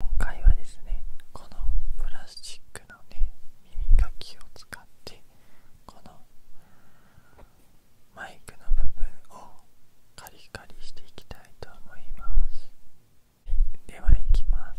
今回はですねこのプラスチックのね耳かきを使ってこのマイクの部分をカリカリしていきたいと思いますではいきます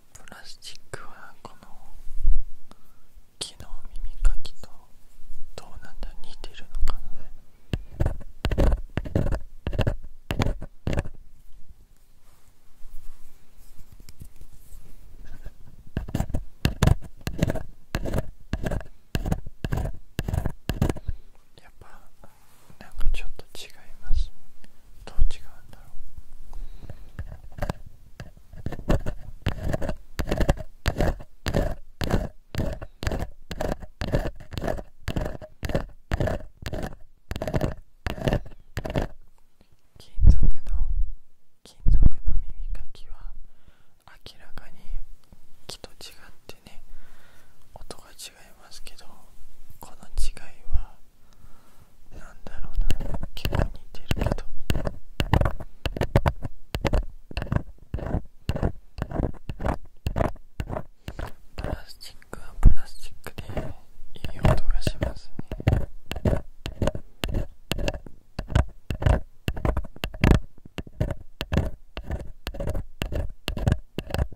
プラスチックはこの木の耳かきとどうなんだ似てるのかなやっぱなんかちょっと違いますどう違うんだろう金属の金属の耳かきは明らかに木と違ってね音が違いますけどこの違いはなんだろうな結構似てるけどプラスチックはプラスチックでいい音がしますね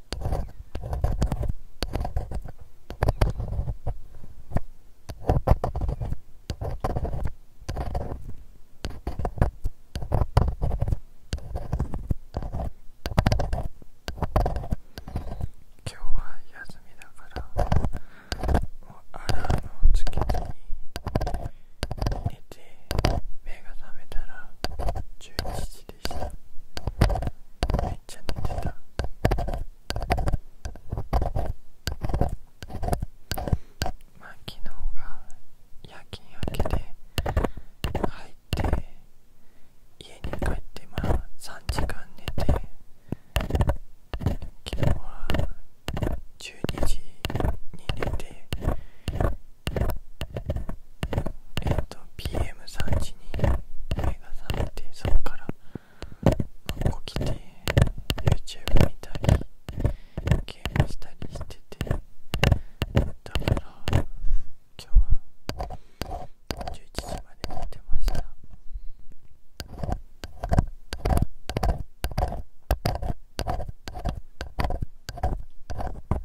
今日は休みだからアラームをつけずに寝て目が覚めたら11時でめっちゃ寝てたまあ昨日が夜勤明けで入って家に帰ってまあ3時間寝て昨日は12時に寝てえっ、と PM3 時に映画されてそこから起きて YouTube 見たりゲームしたりしててだから今日は11時まで寝てました。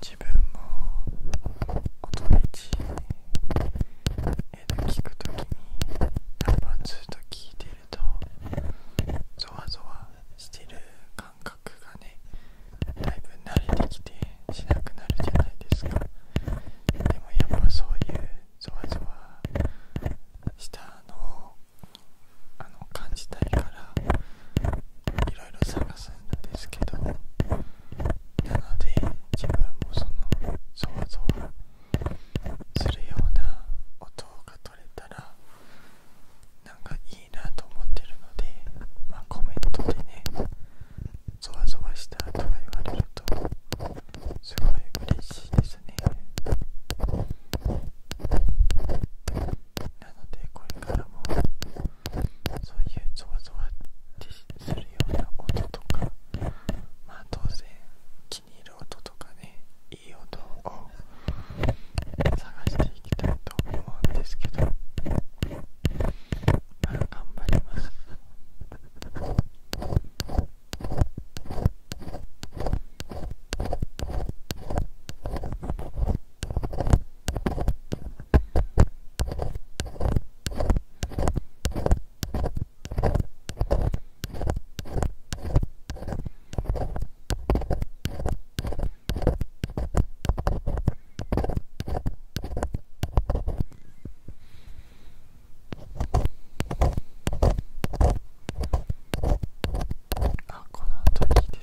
自分も音道えー、聞くときにナンバー2と聞いてるとゾワゾワしてる感覚がねだいぶ慣れてきてしなくなるじゃないですかでもやっぱそういうゾワゾワしたのをあの感じたいからいろいろ探すんですけどなので自分もその想像するような音が取れたらなんかいいなと思ってるのでまコメントでねゾワゾワしたとか言われるとすごい嬉しいですねなのでこれからもそういうぞワゾワってするような音とかまあ当然気に入る音とかねいい音を探していきたいと思うんですけどまあ頑張ります。あこの後いいで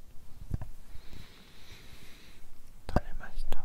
取れました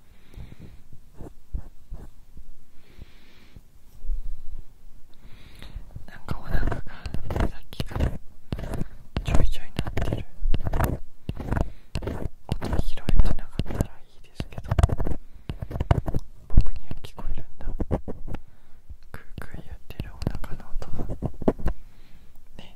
なんかお腹がさっきからちょいちょいなってる音が拾えてなかったらいいですけど僕には聞こえるんだクークやってるお腹の音はね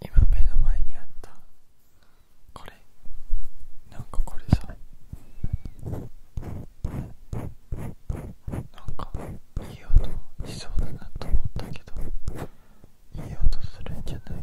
今目の前にあったこれなんかこれさなんかいい音しそうだなと思ったけどいい音するんじゃない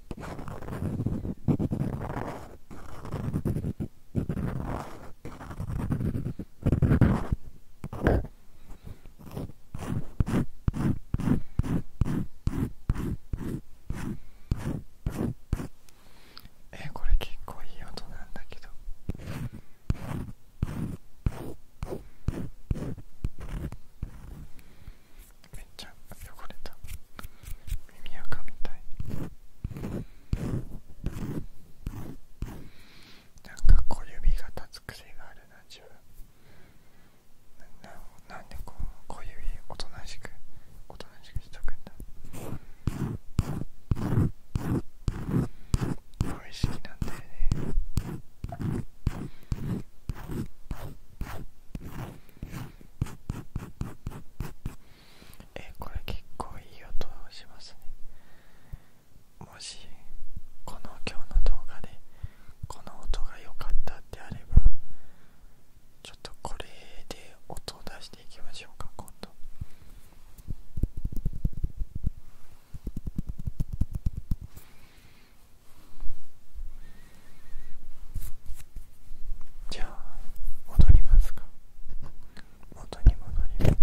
えこれ結構いい音なんだけど。めっちゃ汚れた耳垢みたいなんか小指が立つ癖があるな自分なななんでこう小指おとなしくおとなしくしとくんだ無意識なんだよねえこれ結構いい音をしますねもしこの今日の動画でこの音が良かったってあればちょっとこれで音を出していきましょうか今度じゃあ戻りますか元に戻ります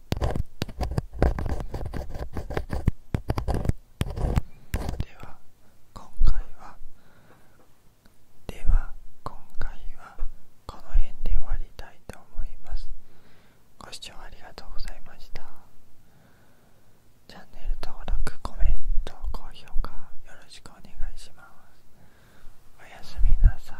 では今回はでは今回はこの辺で終わりたいと思いますご視聴ありがとうございましたチャンネル登録コメント高評価よろしくお願いしますおやすみなさい